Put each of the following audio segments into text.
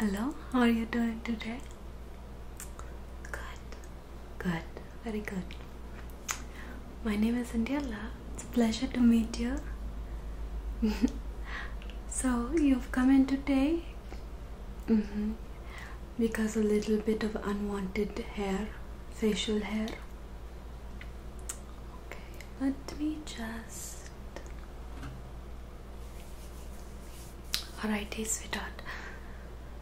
Hello, how are you doing today? Good, good, very good. My name is Indiala. It's a pleasure to meet you. so, you've come in today mm -hmm. because a little bit of unwanted hair, facial hair. Okay, let me just. Alrighty, sweetheart.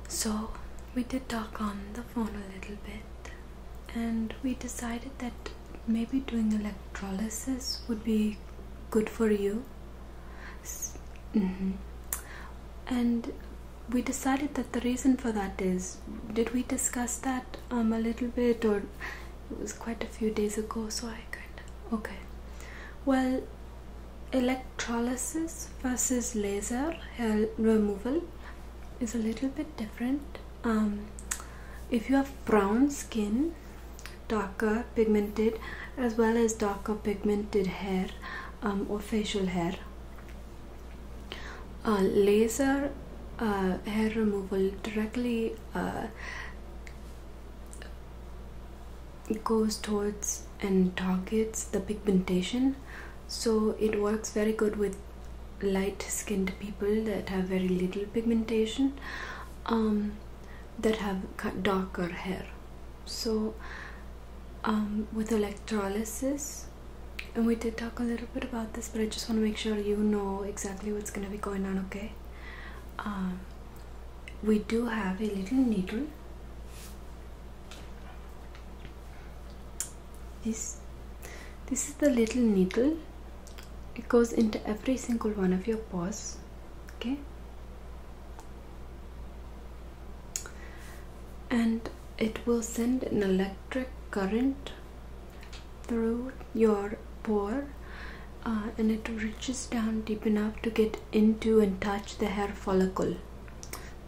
So, we did talk on the phone a little bit, and we decided that maybe doing electrolysis would be good for you. Mm -hmm. And we decided that the reason for that is did we discuss that um, a little bit or it was quite a few days ago so i kind of okay well electrolysis versus laser hair removal is a little bit different um, if you have brown skin darker pigmented as well as darker pigmented hair um, or facial hair uh, laser uh, hair removal directly uh, it goes towards and targets the pigmentation so it works very good with light skinned people that have very little pigmentation um, that have darker hair so um, with electrolysis and we did talk a little bit about this but I just want to make sure you know exactly what's going to be going on okay um, we do have a little needle this this is the little needle it goes into every single one of your pores, okay and it will send an electric current through your pore uh, and it reaches down deep enough to get into and touch the hair follicle.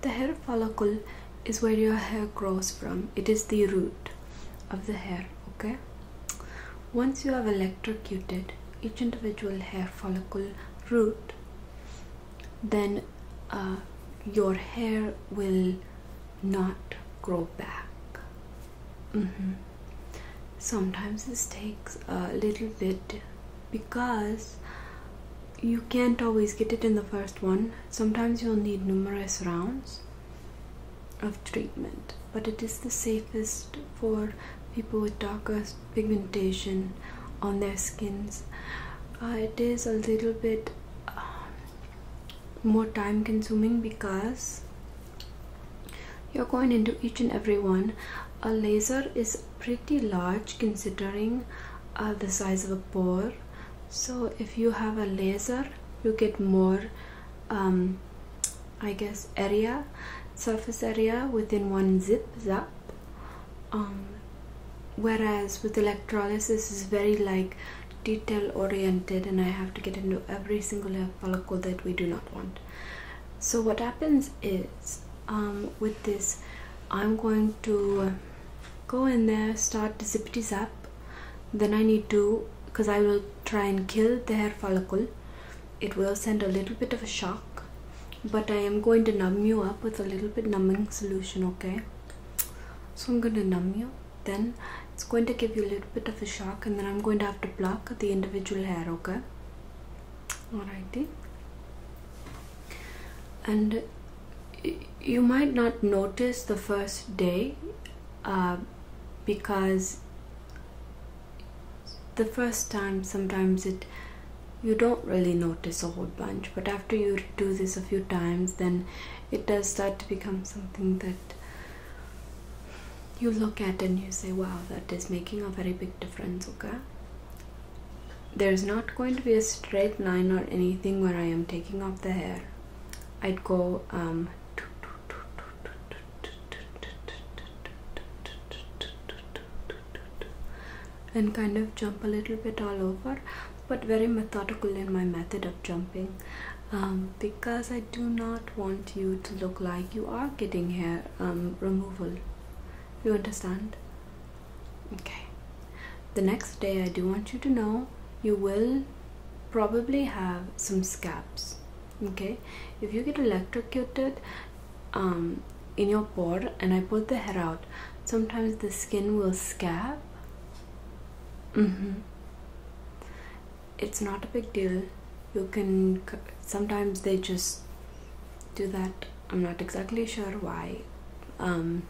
The hair follicle is where your hair grows from, it is the root of the hair. Okay, once you have electrocuted each individual hair follicle root, then uh, your hair will not grow back. Mm -hmm. Sometimes this takes a little bit because you can't always get it in the first one. Sometimes you'll need numerous rounds of treatment, but it is the safest for people with darker pigmentation on their skins. Uh, it is a little bit um, more time consuming because you're going into each and every one a laser is pretty large considering uh, the size of a pore so if you have a laser you get more um, I guess area surface area within one zip zap um, whereas with electrolysis is very like detail oriented and I have to get into every single follicle that we do not want so what happens is um, with this I'm going to go in there start to the zippity up. then I need to because I will try and kill the hair follicle it will send a little bit of a shock but I am going to numb you up with a little bit numbing solution okay so I'm going to numb you then it's going to give you a little bit of a shock and then I'm going to have to pluck the individual hair okay alrighty and you might not notice the first day uh, because the first time sometimes it you don't really notice a whole bunch but after you do this a few times then it does start to become something that you look at it and you say, wow, that is making a very big difference, okay? There's not going to be a straight line or anything where I am taking off the hair. I'd go um, and kind of jump a little bit all over but very methodical in my method of jumping um, because I I do not want you to look like you are getting hair um, removal. You understand? Okay. The next day, I do want you to know you will probably have some scabs. Okay. If you get electrocuted um, in your pore and I pull the hair out, sometimes the skin will scab. Mm -hmm it's not a big deal you can sometimes they just do that i'm not exactly sure why um,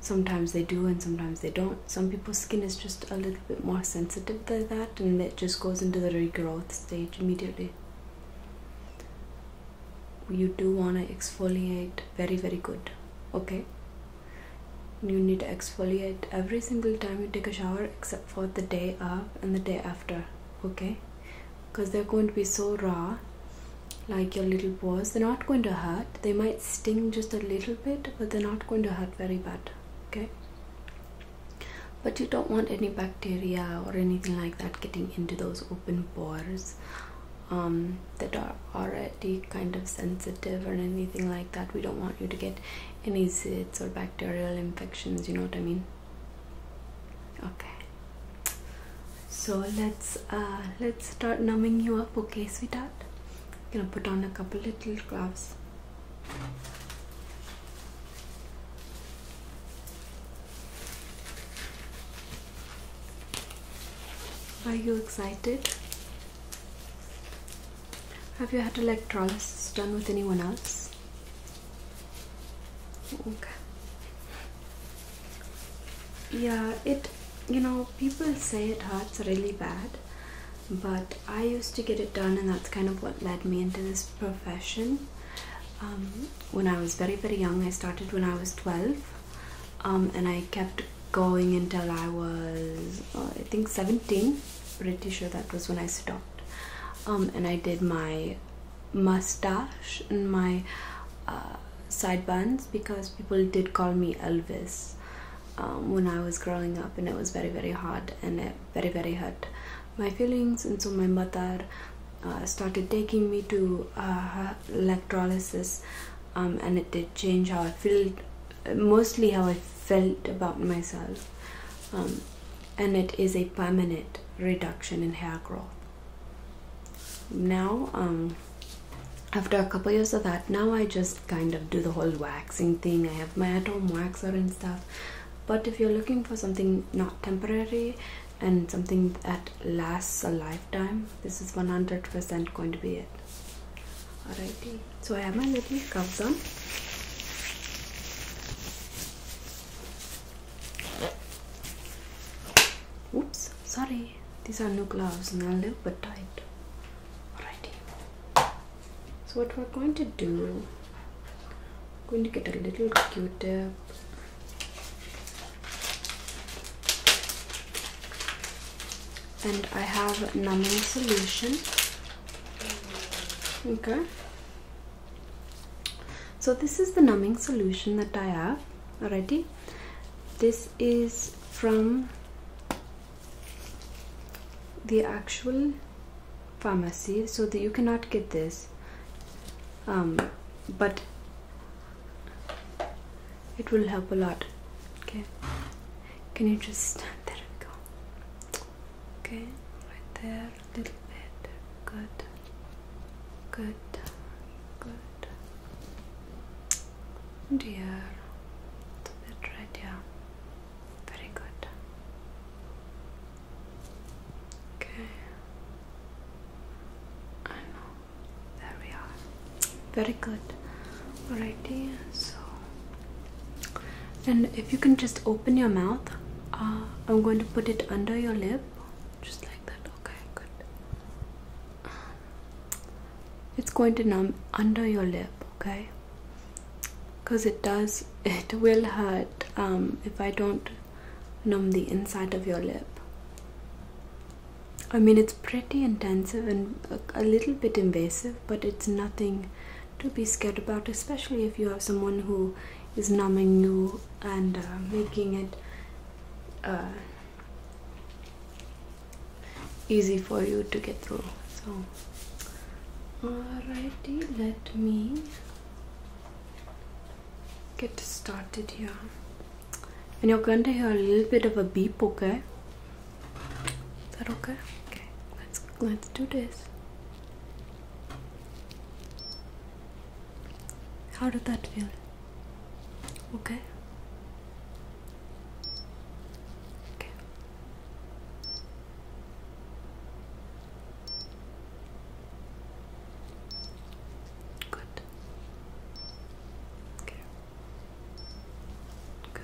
sometimes they do and sometimes they don't some people's skin is just a little bit more sensitive than that and it just goes into the regrowth stage immediately you do want to exfoliate very very good okay you need to exfoliate every single time you take a shower except for the day up and the day after okay because they're going to be so raw like your little pores. they're not going to hurt they might sting just a little bit but they're not going to hurt very bad okay but you don't want any bacteria or anything like that getting into those open pores um, that are already kind of sensitive or anything like that we don't want you to get any zits or bacterial infections you know what i mean okay so let's uh, let's start numbing you up okay sweetheart I'm gonna put on a couple little gloves are you excited have you had electrolysis done with anyone else okay yeah it you know people say it hurts really bad but i used to get it done and that's kind of what led me into this profession um, when i was very very young i started when i was 12 um, and i kept going until i was oh, i think 17 pretty sure that was when I stopped. Um, and I did my mustache and my uh, side buns because people did call me Elvis um, when I was growing up, and it was very, very hard and very, very hurt my feelings. And so my mother uh, started taking me to uh, electrolysis, um, and it did change how I felt, mostly how I felt about myself and it is a permanent reduction in hair growth now um, after a couple years of that now i just kind of do the whole waxing thing i have my at home waxer and stuff but if you're looking for something not temporary and something that lasts a lifetime this is 100% going to be it alrighty so i have my little curls on Oops, sorry. These are new gloves and they're a little bit tight. Alrighty. So what we're going to do, I'm going to get a little Q-tip. And I have numbing solution. Okay so this is the numbing solution that I have already this is from the actual pharmacy so that you cannot get this um, but it will help a lot okay can you just there we go okay right there a little bit. Good. Good. Good. Dear. a bit red, yeah. Very good. Okay. I know. There we are. Very good. Alrighty, so and if you can just open your mouth uh, i'm going to put it under your lip just like that okay good it's going to numb under your lip okay because it does it will hurt um, if i don't numb the inside of your lip i mean it's pretty intensive and a little bit invasive but it's nothing to be scared about especially if you have someone who is numbing you and uh, making it uh, easy for you to get through. So, alrighty, let me get started here. And you're going to hear a little bit of a beep, okay? Is that okay? Okay, let's let's do this. How did that feel? Okay. Okay. Good. Okay. Good.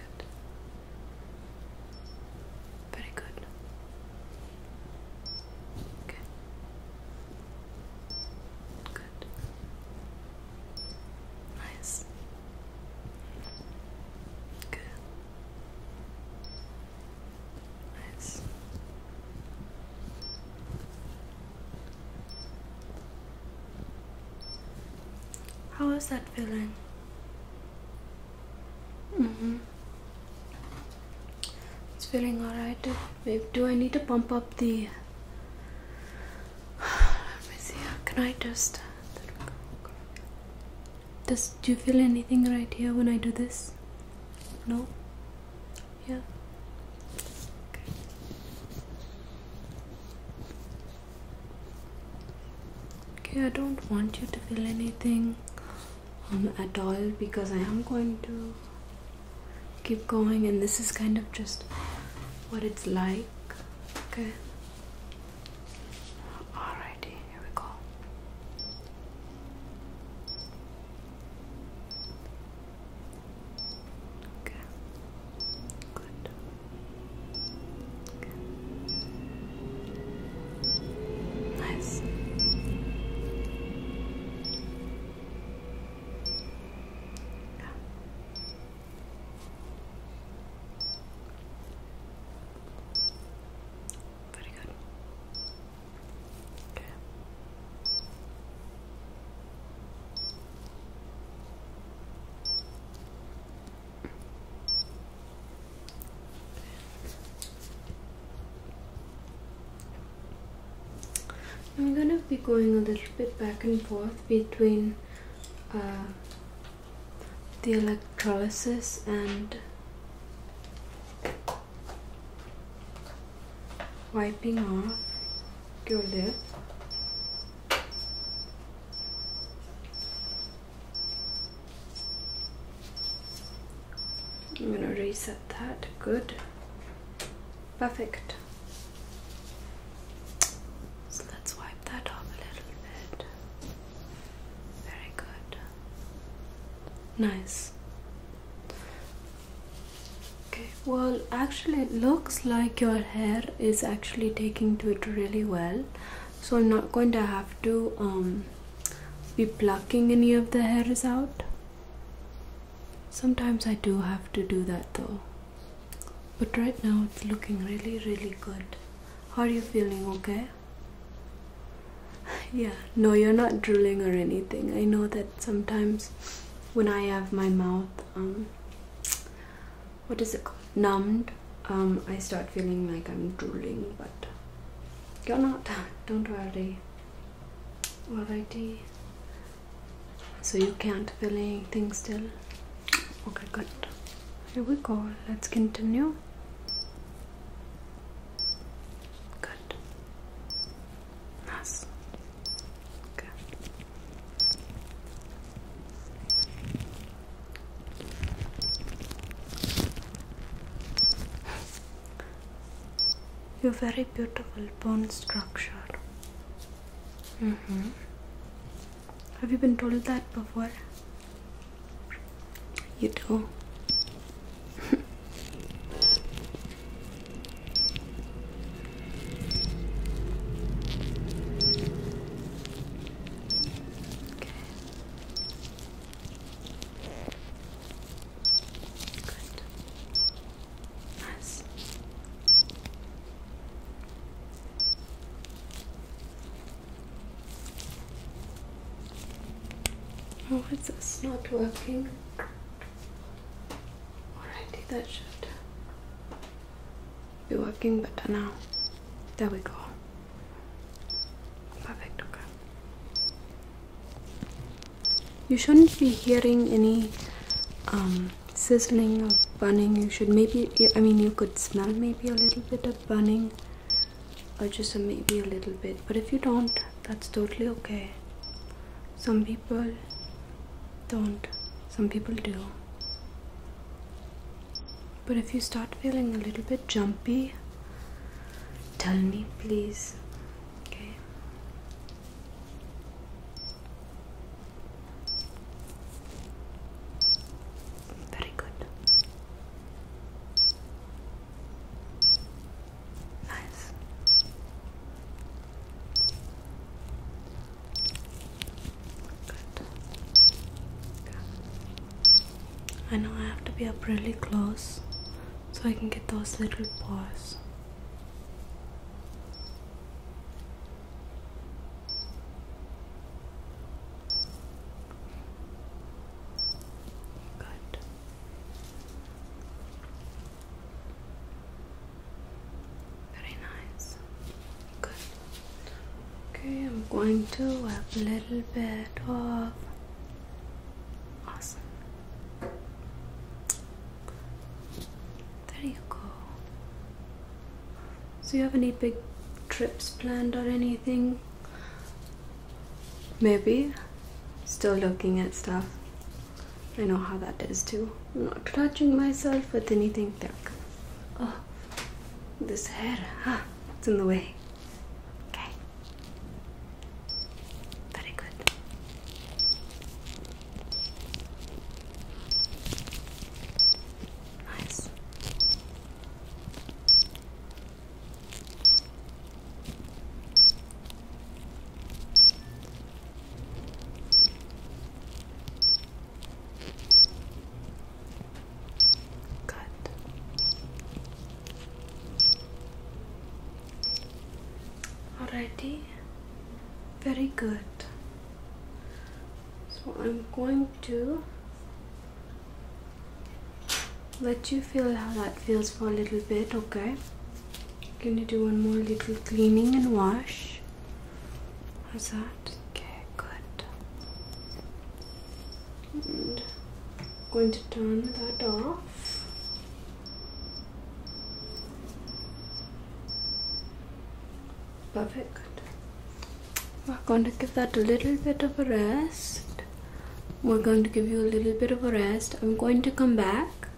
Very good. Okay. Good. Nice. Good. Nice. How is that feeling? Mm hmm it's feeling alright. Do I need to pump up the? Let Can I just? Does do you feel anything right here when I do this? No. Yeah. Okay. okay. I don't want you to feel anything. Um, at all because I am going to keep going and this is kind of just what it's like okay alrighty here we go okay good Nice. Yeah. Pretty good. Okay. I'm gonna be going a little bit back and forth between uh, the electrolysis and wiping off your lip I'm gonna reset that, good. Perfect. So let's wipe that off a little bit. Very good. Nice. Okay, well, actually, it looks like your hair is actually taking to it really well. So I'm not going to have to um, be plucking any of the hairs out. Sometimes I do have to do that though. But right now it's looking really, really good. How are you feeling? Okay? yeah, no, you're not drooling or anything. I know that sometimes when I have my mouth, um, what is it called? Numbed, um, I start feeling like I'm drooling, but you're not. Don't worry alrighty so you can't feel anything still okay good here we go let's continue good nice okay you're very beautiful bone structure. Mm -hmm. Have you been told that before? You do. okay. Oh, it's this not working? Alrighty, that should be working But now. There we go. Perfect, okay. You shouldn't be hearing any um, sizzling or burning. You should maybe, I mean, you could smell maybe a little bit of burning or just maybe a little bit. But if you don't, that's totally okay. Some people don't, some people do. But if you start feeling a little bit jumpy, tell me please. Okay. Very good. Nice. Good. I know I have to be up really close so I can get those little paws. Good. Very nice. Good. Okay, I'm going to have a little bit of awesome. There you go. So, you have any big trips planned or anything? Maybe. Still looking at stuff. I know how that is too. I'm not touching myself with anything thick. Oh, this hair, ah, it's in the way. Okay. Very good. Nice. Good. Alrighty very good so I'm going to let you feel how that feels for a little bit okay gonna do one more little cleaning and wash how's that okay good and I'm going to turn that off perfect we're going to give that a little bit of a rest we're going to give you a little bit of a rest I'm going to come back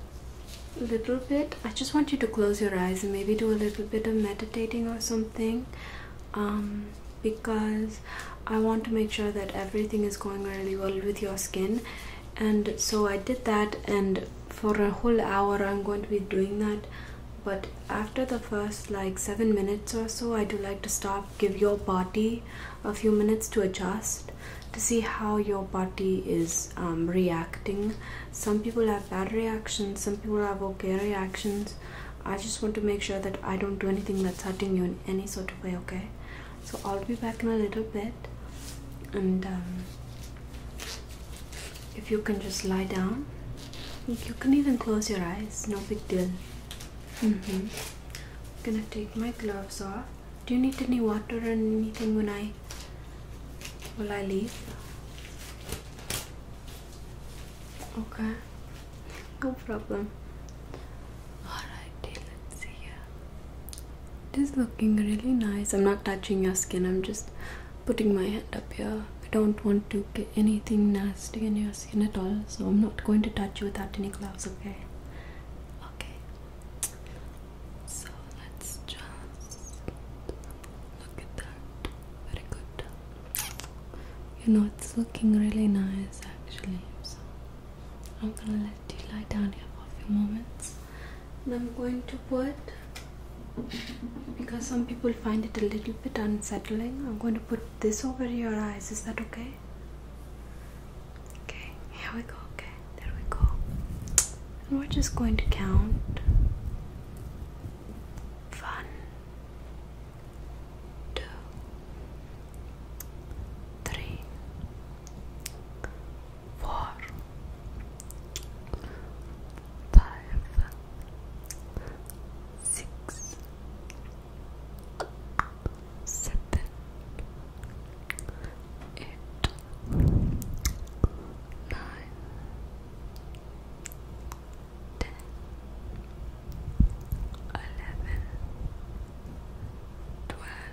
a little bit I just want you to close your eyes and maybe do a little bit of meditating or something um, because I want to make sure that everything is going really well with your skin and so I did that and for a whole hour I'm going to be doing that but after the first like seven minutes or so I do like to stop give your body a few minutes to adjust to see how your body is um, reacting some people have bad reactions some people have okay reactions I just want to make sure that I don't do anything that's hurting you in any sort of way okay so I'll be back in a little bit and um, if you can just lie down you can even close your eyes no big deal mm-hmm. gonna take my gloves off do you need any water or anything when I will I leave okay no problem all right see you it is looking really nice. I'm not touching your skin, I'm just putting my hand up here. I don't want to get anything nasty in your skin at all, so I'm not going to touch you without any gloves, okay? Okay. So let's just look at that. Very good. You know, it's looking really nice actually. So I'm gonna let you lie down here for a few moments. And I'm going to put, because some people find it a little bit unsettling, I'm going to put this over your eyes. Is that okay? Okay, here we go. Okay, there we go. And we're just going to count. One, two, three, four, five, six, seven, eight, nine, ten, eleven, twelve.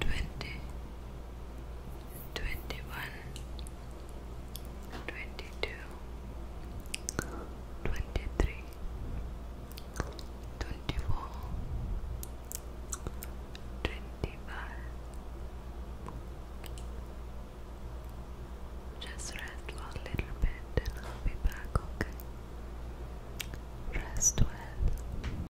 twenty, twenty one, twenty two, twenty three, twenty four, twenty five. Just rest for a little bit and I'll be back, okay? Rest well.